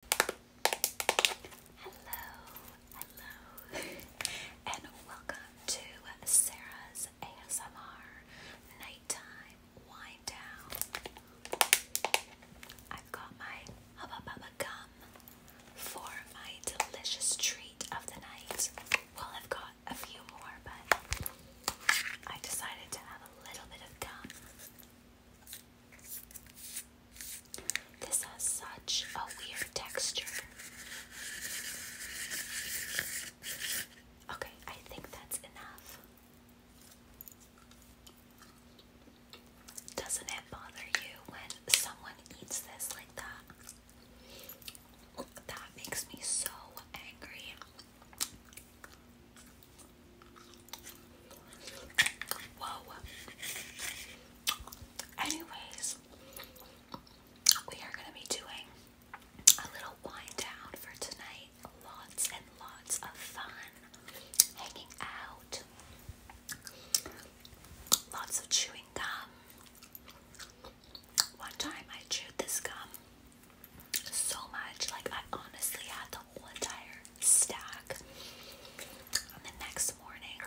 Hello, hello, and welcome to Sarah's ASMR Nighttime Wind Down. I've got my Hubba for my delicious treat of the night. Well, I've got a few more, but I decided to have a little bit of gum this has such a weird texture. Okay, I think that's enough. Doesn't it bother you when someone eats this like that? That makes me so angry. Whoa. Anyways, we are going to be doing a little wind down for tonight. Lots and lots of fun hanging out. Lots of chewing gum. One time I chewed this gum so much, like I honestly had the whole entire stack. On the next morning,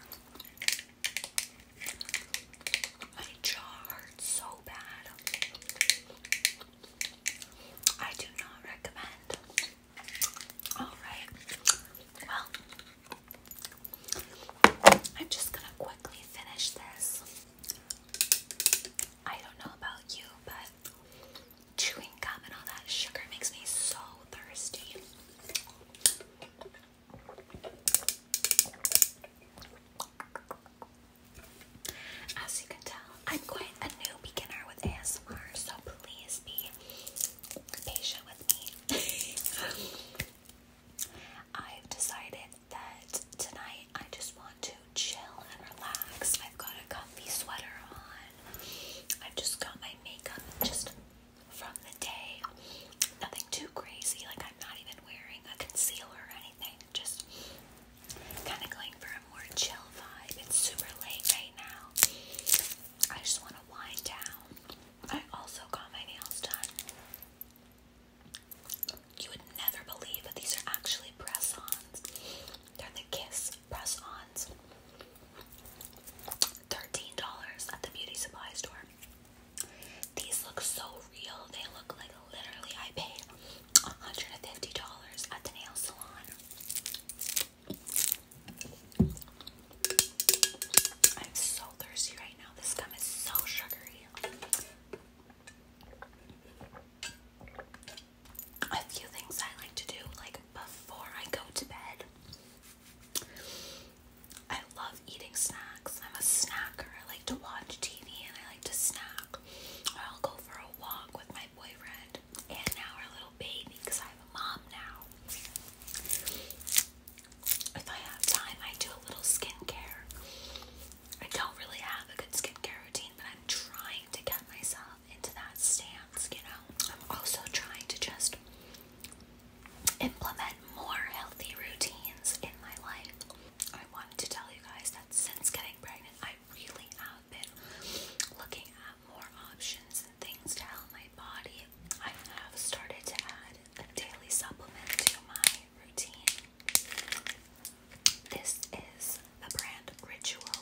my jaw hurts so bad. I do not recommend. Alright, well, I'm just gonna quickly finish this. I don't know about you, but chewing gum and all that sugar makes me so thirsty. As you can tell, I'm quite a new beginner with ASMR, so please be patient with me. I've decided that tonight I just want to chill and relax. I've got a comfy sweater on. I've just got my makeup just from the day. Nothing too crazy, like I'm not even wearing a concealer or anything. Just kind of going for a more chill vibe. It's super late right now. I just want to wind down. I also got my nails done. You would never believe that these are actually press ons. They're the Kiss press ons. $13 at the beauty supply store. These look so real. They look like literally I paid $150 at the nail salon. I'm so thirsty right now. This gum is so sugary. A few things I like to do, like before I go to bed, I love eating snacks. I'm a snacker. I like to watch TV and I like to snack. I'll go for a walk with my boyfriend and now our little baby because I have a mom now. If I have time, I do a little skincare. I don't really have a good skincare routine, but I'm trying to get myself um, into that stance, you know. I'm also trying to just implement more healthy routines in my life. I wanted to tell you guys that since getting pregnant, I really have been looking at more options and things to help my body. I have started to add a daily supplement to my routine. This is the brand Ritual.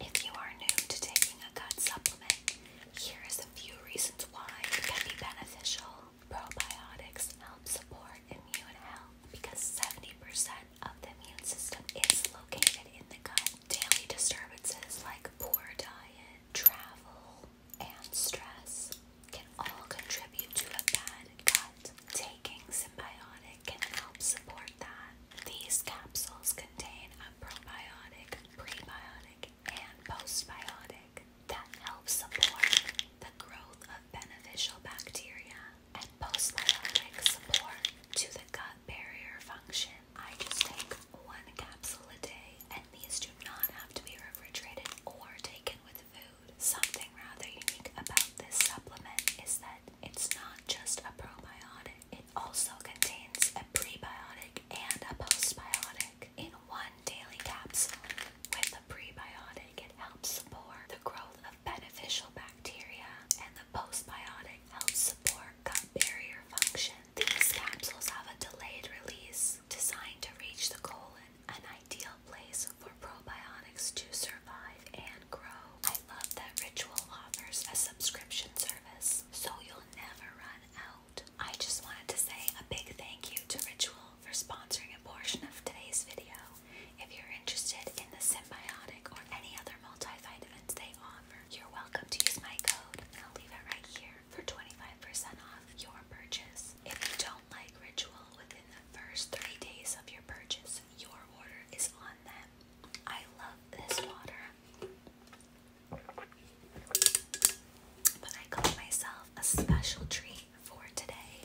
If you are new to taking a gut supplement, here is a few reasons why it can be beneficial. Probiotics help support immune health because 70% of the immune system is located in the gut. Daily disturbances like poor diet, travel, and stress can all contribute to a bad gut. Taking symbiotic can help support that. These capsules can contain a probiotic, prebiotic, and postbiotic that helps support the growth of beneficial bacteria, and postbiotics support to the gut barrier function. I just take one capsule a day, and these do not have to be refrigerated or taken with food. Something rather unique about this supplement is that it's not just a probiotic. It also contains a prebiotic and a postbiotic in one daily capsule. With the prebiotic, it helps support the growth of beneficial bacteria, and the postbiotic helps support gut barrier function. These capsules have a delayed release designed to reach the colon, an ideal place for probiotics to survive and grow. I love that Ritual offers a subscription service, so you'll never run out. I just wanted to say a big thank you to Ritual for sponsoring a portion of today's video. If you're interested in the symbiotic or any other multivitamins they offer, you're welcome to use my code, and I'll leave it right here for 25% off your purchase. If you don't like Ritual within the first three days of your purchase, your order is on them. I love this water. But I got myself a special treat for today,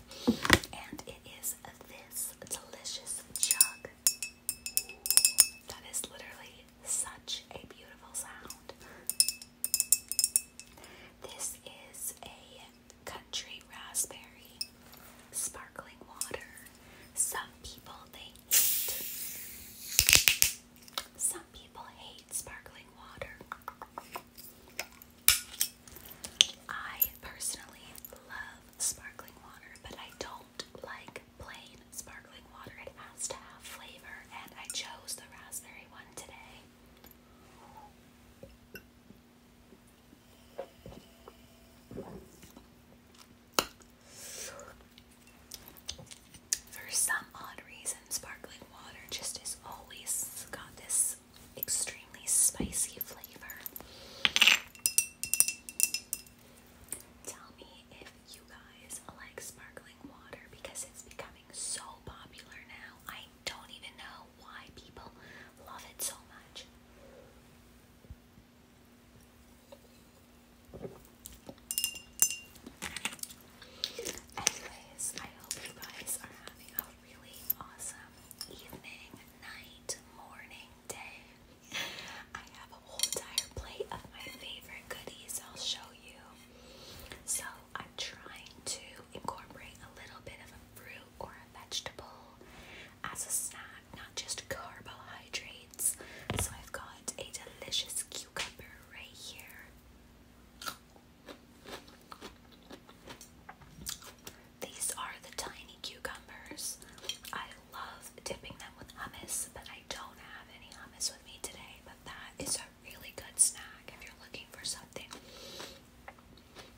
and it is this delicious jug. That is literally such a beautiful sound. This is a country raspberry sparkling water. Some people think some people hate sparkling water. I personally love sparkling water, but I don't like plain sparkling water. It has to have flavor, and I chose the raspberry one today. For some odd reason, sparkling water just has always got this extremely spicy flavor. Tell me if you guys like sparkling water because it's becoming so popular now. I don't even know why people love it so much. Anyways, I hope you guys are having a really awesome evening, night, morning, day. I have a whole entire plate of my favorite goodies I'll show you. So I'm trying to incorporate a little bit of a fruit or a vegetable as a snack, not just carbohydrate. So I've got a delicious cucumber right here. These are the tiny cucumbers. I love dipping them with hummus, but I don't have any hummus with me today. But that is a really good snack if you're looking for something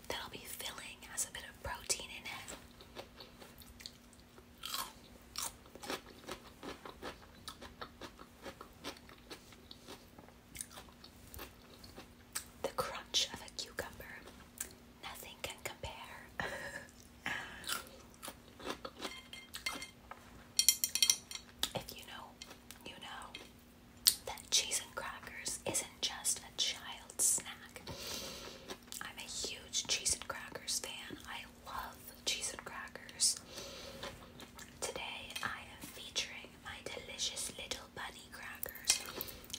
that'll be filling, has a bit of protein in it. The crunch of a cucumber. Nothing can compare. if you know, you know that cheese and crackers isn't just a child's snack. I'm a huge cheese and crackers fan. I love cheese and crackers. Today I am featuring my delicious little bunny crackers.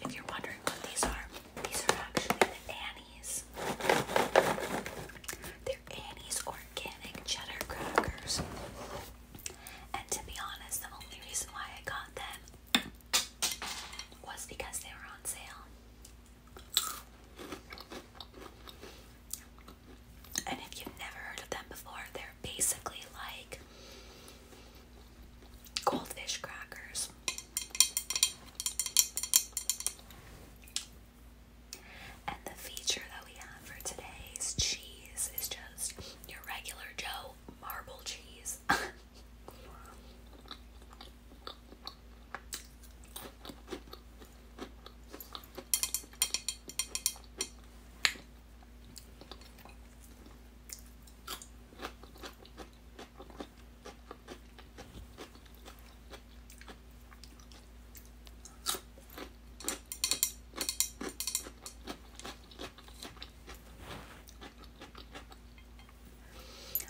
If you're wondering what these are, these are actually the Annie's. They're Annie's organic cheddar crackers. And to be honest, the only reason why I got them was because they were on sale. And if you've never heard of them before, they're basically like goldfish crackers. And the feature that we have for today's cheese is just your regular Joe marble cheese.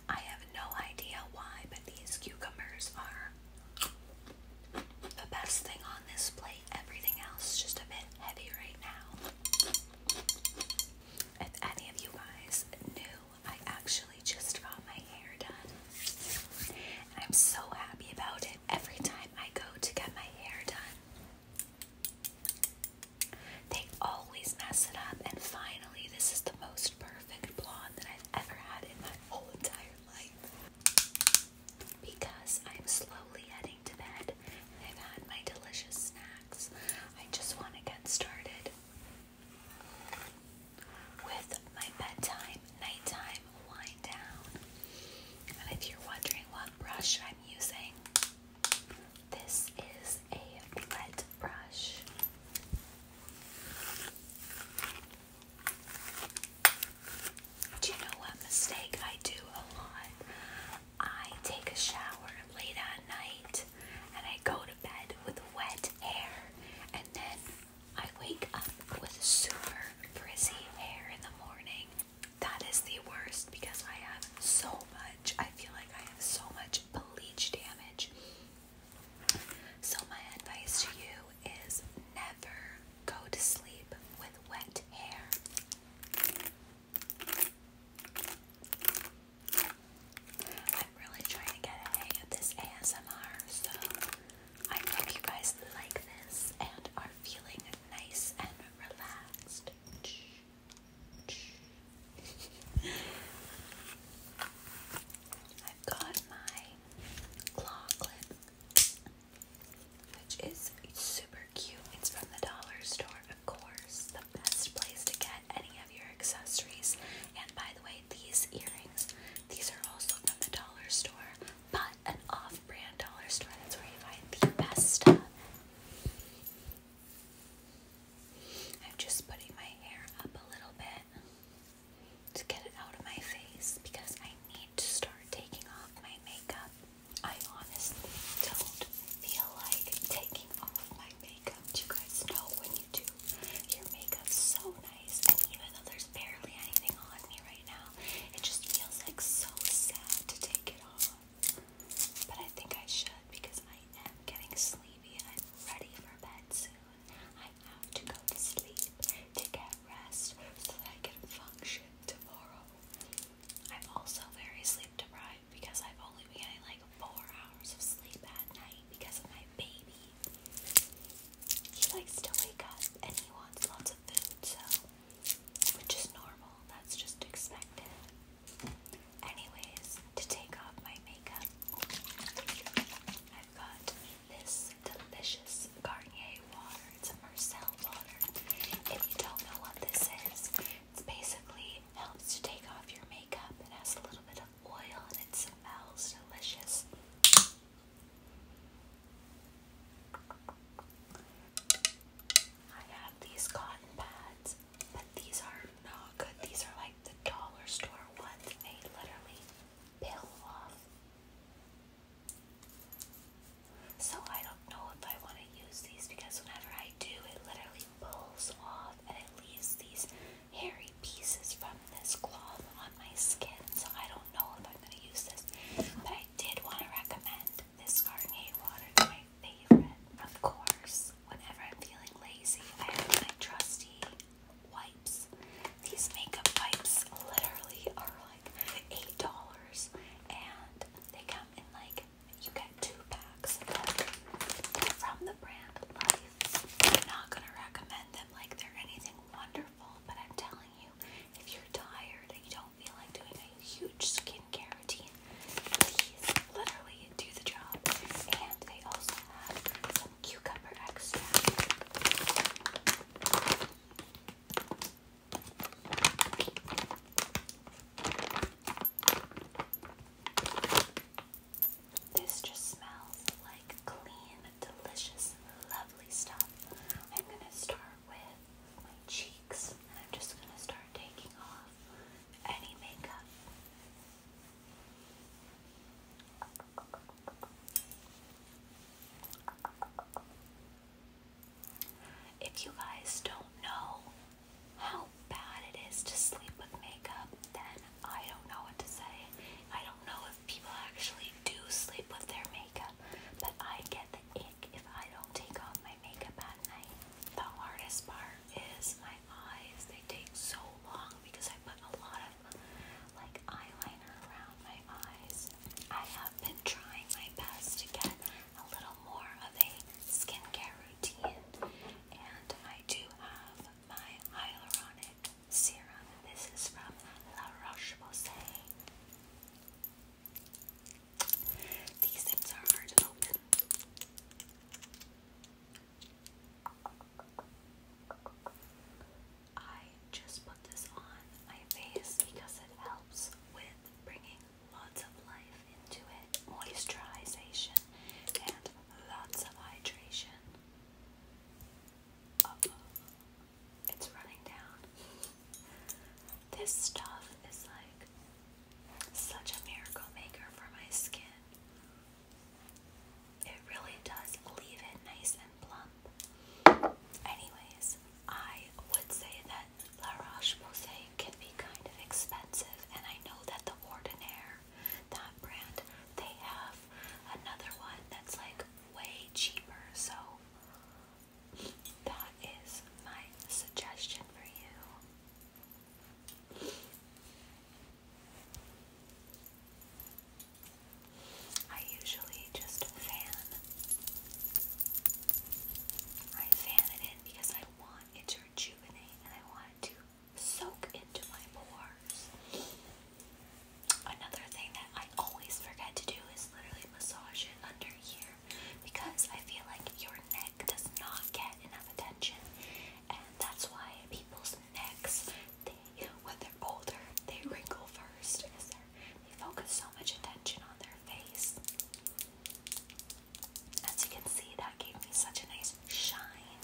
I have no idea why, these cucumbers are the best thing on this plate. Everything else is just a bit heavy right now. If any of you guys knew, I actually just got my hair done. And I'm so happy about it. Every time I go to get my hair done, they always mess it up. And finally, this is the most perfect blonde that I've ever had in my whole entire because I'm slowly heading to bed and I've had my delicious snacks, I just want to get started with my bedtime, nighttime wind down. And if you're wondering what brush I'm using, this is a wet brush. Do you know what mistake I do a lot? I take a shower late at night and I go to bed with wet hair and then I wake up with super frizzy hair in the morning. That is the worst because I have so much, I feel like I have so much bleach damage so, my advice to you is never go to sleep with wet hair. I'm really trying to get a hang of this ASMR, so I hope you guys like this and are feeling nice and relaxed. I've got my which is super cute. It's from the dollar store, of course. The best place to get any of your accessories. And by the way, these earrings, these are also from the dollar store, but an off-brand dollar store. That's where you find the best stuff. I'm just putting my hair up a little bit to get it out of my face because I need to start taking off my makeup. I honestly don't feel like taking off my makeup. Do you guys know when you do your makeup's so nice and even though there's barely anything on me right now, it just feels like so sad to take it off. But I think I should because I am getting sleepy and I'm ready for bed soon. I have to go to sleep to get rest so that I can function tomorrow. I'm also very sleep deprived because I've only been getting like four hours of sleep at night because of my baby. He likes to wake up and he wants lots of food, so which is normal, that's just expected. Anyways, to take off my makeup, I've got this delicious Garnier water. It's a Marcel water. If you don't know what this is, it basically helps to take off your makeup. It has a little bit of oil and it smells delicious. I have these cotton pads, but these are not good. These are like the dollar store ones. They literally peel off so I don't know if I want to use these because whenever I do, it literally pulls off and it leaves these hairy pieces from this cloth on my skin. So I don't know if I'm going to use this. But I did want to recommend this Garnier water. It's my favorite. Of course, whenever I'm feeling lazy, I have my trusty wipes. These makeup wipes literally are like eight dollars, and they come in like you get two packs. They're from the brand Life. I'm not gonna recommend them like they're anything wonderful, but I'm telling you, if you're tired and you don't feel like doing a huge skincare routine, please literally do the job. And they also have cucumber extract. This just smells like clean, delicious, lovely stuff. I'm gonna start with my cheeks and I'm just gonna start taking off any makeup. If you guys don't know how bad it is to sleep with makeup, then I don't know what to say. I don't know if people actually do sleep with their makeup, but I get the ick if I don't take off my makeup at night. The hardest part is my eyes. They take so long because I put a lot of like eyeliner around my eyes. I have been trying my best to get a little more of a skincare routine, and I do have my hyaluronic serum. This is from La Roche Posay. These things are hard to open. I just put this on my face because it helps with bringing lots of life into it, moisturization, and lots of hydration. it's running down. This stuff is like such a miracle maker for my skin. It really does leave it nice and plump. Anyways, I would say that La Roche-Posay can be kind of expensive, and I know that the Ordinaire, that brand, they have another one that's like way cheaper. So that is my suggestion for you. I usually just fan. I fan it in because I want it to rejuvenate and I want it to soak into my pores. Another thing that I always forget to do is literally massage it under here because I feel like your neck does not get enough attention and that's why people's necks when they're older, they wrinkle first because they focus so much attention on their face. As you can see, that gave me such a nice shine.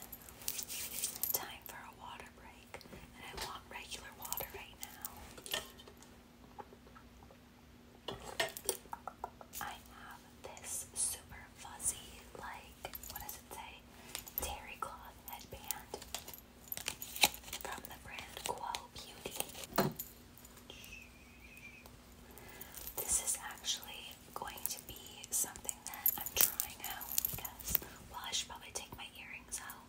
Time for a water break, and I want regular water right now. I have this super fuzzy, like, what does it say? Terry cloth headband from the brand Quo Beauty. This is actually going to be something that I'm trying out because, well, I should probably take my earrings out.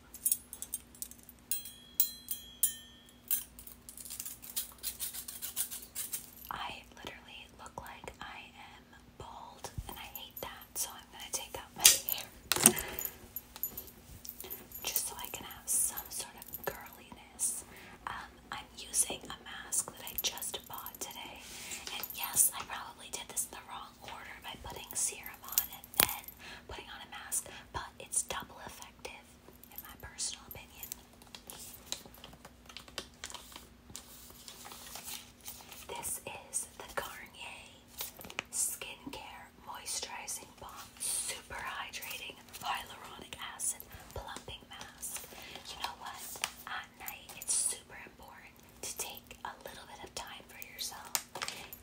I literally look like I am bald, and I hate that, so I'm I'm gonna take out my hair just so I can have some sort of girliness. Um, I'm using a mask that I just bought today, and yes, I probably did this in the wrong order by putting serum on and then putting on a mask, but it's double effective in my personal opinion. This is the Garnier Skincare Moisturizing Balm Super Hydrating Hyaluronic Acid Plumping Mask. You know what? At night, it's super important to take a little bit of time for yourself.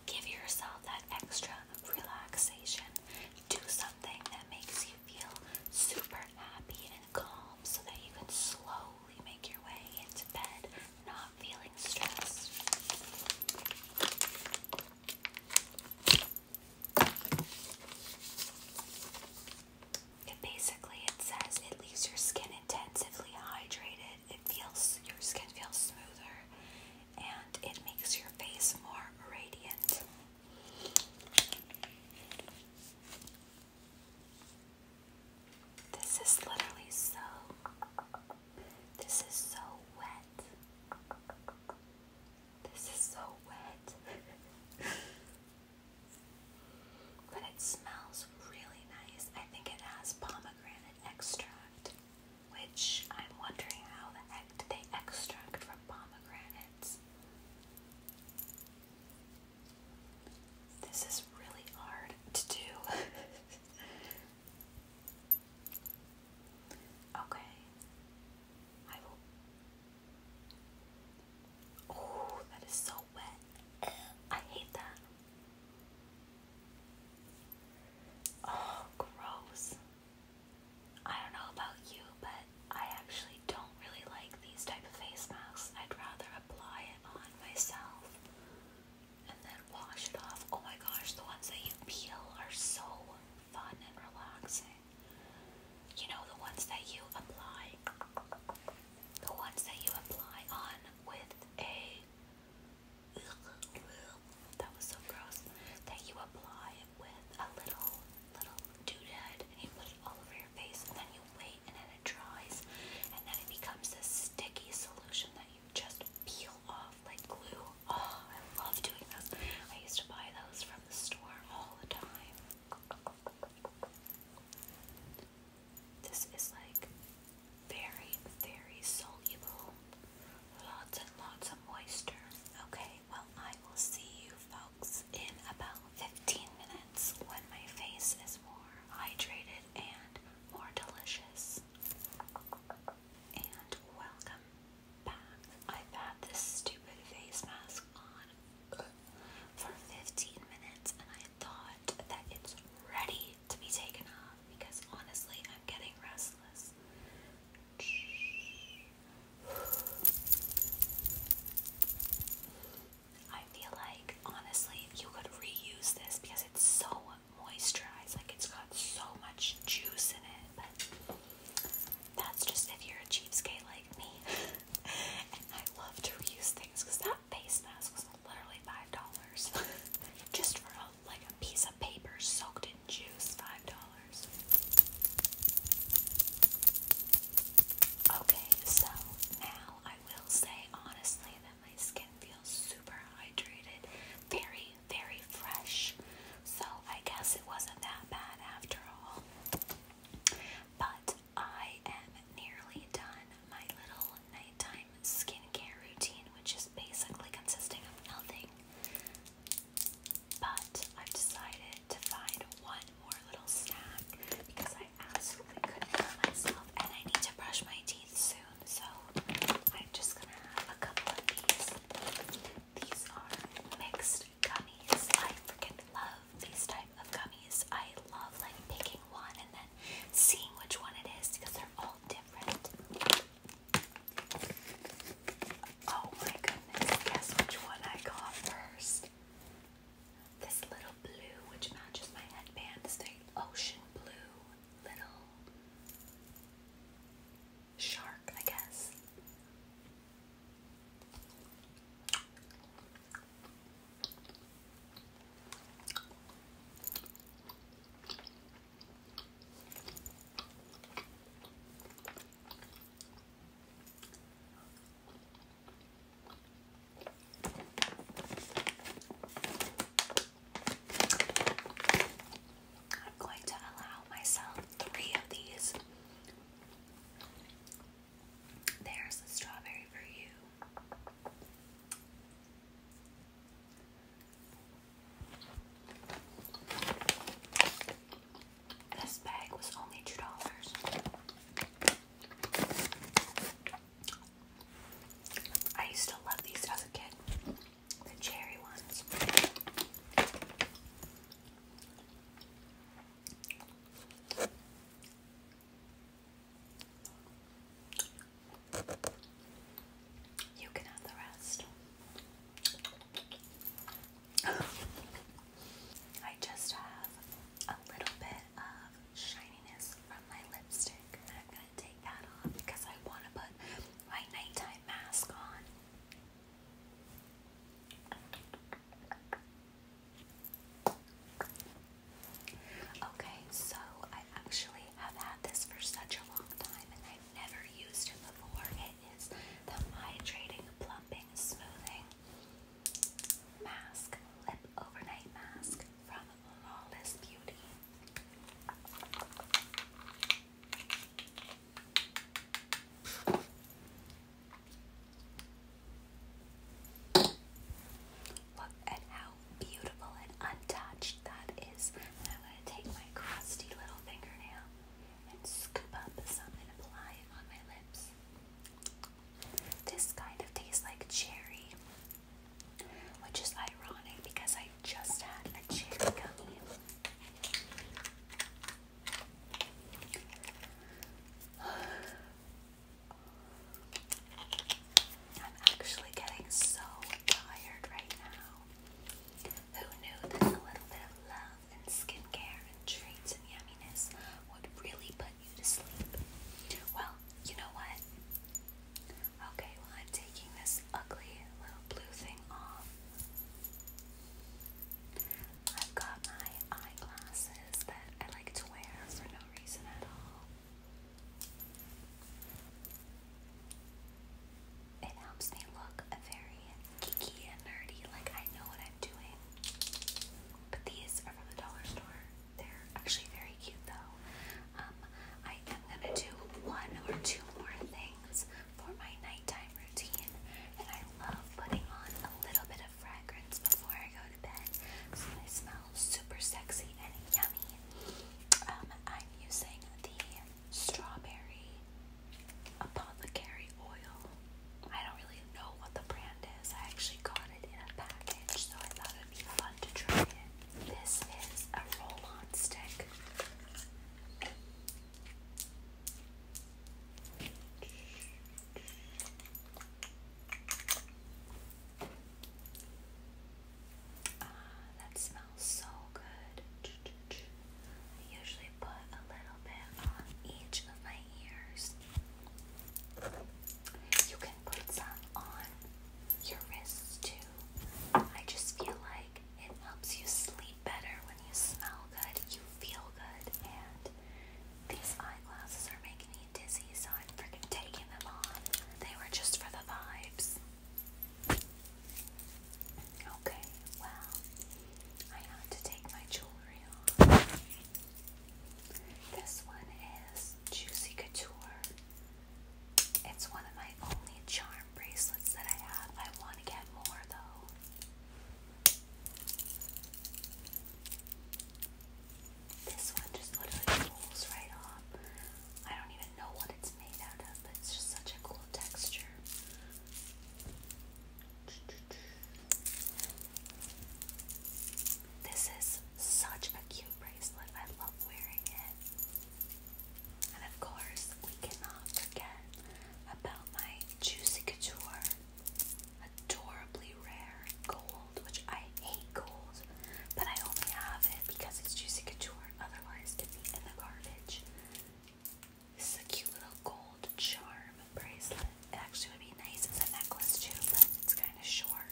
Give yourself that extra relaxation. Do something that makes you feel super happy and calm so that you can slowly make your way into bed, feeling stressed. It basically it says it leaves your skin intensively hydrated. It feels your skin feels smoother and it makes your face more radiant. This is literally so this is so wet. This is so wet. but it smells really nice. I think it has pomegranate extract, which I'm wondering how they extract from pomegranates. This is really hard to do. Okay. I will. Oh, that is so wet. I hate that. Oh, gross. I don't know about you, but I actually don't really like these type of face masks. I'd rather apply it on myself and then wash it off. Oh my gosh, the ones that you peel are so fun and relaxing. You know, the ones that you apply, the ones that you apply on with a. That was so gross. That you apply with a little, little doodad and you put it all over your face and then you wait and then it dries and then it becomes this sticky solution that just peel off like glue. Oh, I love doing those. I used to buy those from the store all the time. This is like very, very soluble. Lots and lots of moisture. Okay, well, I will see you folks in about 15 minutes when my face is more hydrated and more delicious and welcome back. I've had this stupid face mask on for 15 minutes and I thought that it's ready to be taken off because honestly, I'm getting restless. I feel like honestly, you could reuse this because it's so moisturized. Like it's got so much juice in it. But that's just if you're a cheapskate like me. and I love to reuse things because that face mask was literally five dollars. just for a, like a piece of paper soaked in juice, five dollars. Okay, so now I will say honestly my skin feels super hydrated, very, very fresh. So I guess it wasn't that bad after all. But I am nearly done my little nighttime skincare routine, which is basically consisting of nothing. But I've decided to find one more little snack because I absolutely couldn't help myself, and I need to brush my teeth soon so I'm just gonna have a couple of these. These are mixed gummies. I freaking love these type of gummies. I love like picking one and then seeing which one it is because they're all different. Oh my goodness, guess which one I got first. This little blue, which matches my headband, is the ocean blue little shark, I guess. I'm going to allow myself three of these. There's a strawberry for you. This bag was only two dollars. I used to love these as a kid the cherry ones. You can have the rest. I just have a little bit of shininess from my lipstick, I'm gonna take that off because I want to put my nighttime mask on. Okay, so I actually have had this for such a long time and I've never used it before. It is the Hydrating Plumping Smoothing Mask Lip Overnight Mask from Lawless Beauty. Look at how beautiful and untouched that is. I'm take my crusty little fingernail and scoop up some and apply it on my lips. This kind of tastes like cherry which is ironic because I just had a cherry gummy. I'm actually getting so tired right now. Who knew that a little bit of love and skincare and treats and yumminess would really put you to sleep? Well, you know what? Okay, well, I'm taking this ugly little blue thing off. I've got my eyeglasses that I like to wear for no reason at all. It helps me look very geeky and nerdy, like I know what I'm doing. But these are from the dollar store. They're actually very cute though. Um, I am gonna do one or two more things for my nighttime routine, and I love putting on a little bit of fragrance before I go to bed, so I smell super sexy and yummy. Um, I'm using the strawberry apothecary oil. I don't really know what the brand is. I actually got it in a package, so I thought it'd be fun to try it. This is a roll-on stick. Ah, that smells so good. I usually put a little bit on each of my ears. You can put some on your wrists too. I just feel like it helps you sleep better when you smell good, you feel good, and these eyeglasses are making me dizzy, so I'm freaking taking them on. They were just for the vibes. Okay, well, I had to take my jewelry off. This one is Juicy Couture it's one of my only charm bracelets that I have. I want to get more though. This one just literally rolls right off. I don't even know what it's made out of, but it's just such a cool texture. This is such a cute bracelet. I love wearing it. And of course, we cannot forget about my Juicy Couture adorably rare gold, which I hate gold, but I only have it because it's Juicy Couture, otherwise, it'd be in the garbage. This is a cute little gold charm bracelet. It actually would be nice as a necklace, too, but it's kind of short.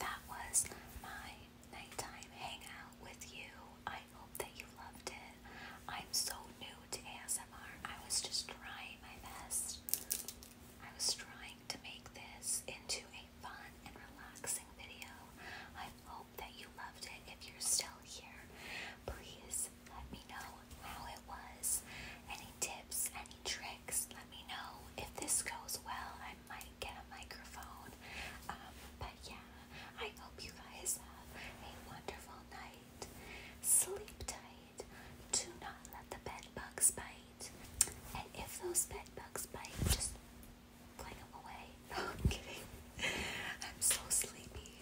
That was my nighttime hangout with you. I hope that you loved it. I'm so new to ASMR. I was just trying my best. I was trying to make this into a fun and relaxing video. I hope that you loved it. If you're still here, please let me know how it was. Any tips, any tricks, let me know. If this goes well, I might get a microphone. Um, but yeah, I hope you guys have a wonderful night. Sleep tight. Do not let the bed bugs bite. And if those bed bugs bite, just fling them away. I'm kidding. I'm so sleepy.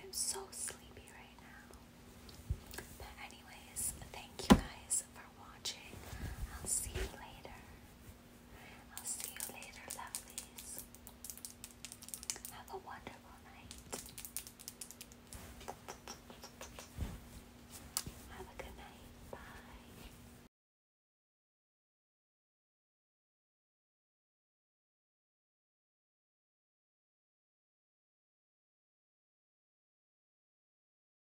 I'm so sleepy right now. But anyways, thank you guys for watching. I'll see you later. I'll see you later, lovelies. Have a wonderful night. Have a good night. Bye.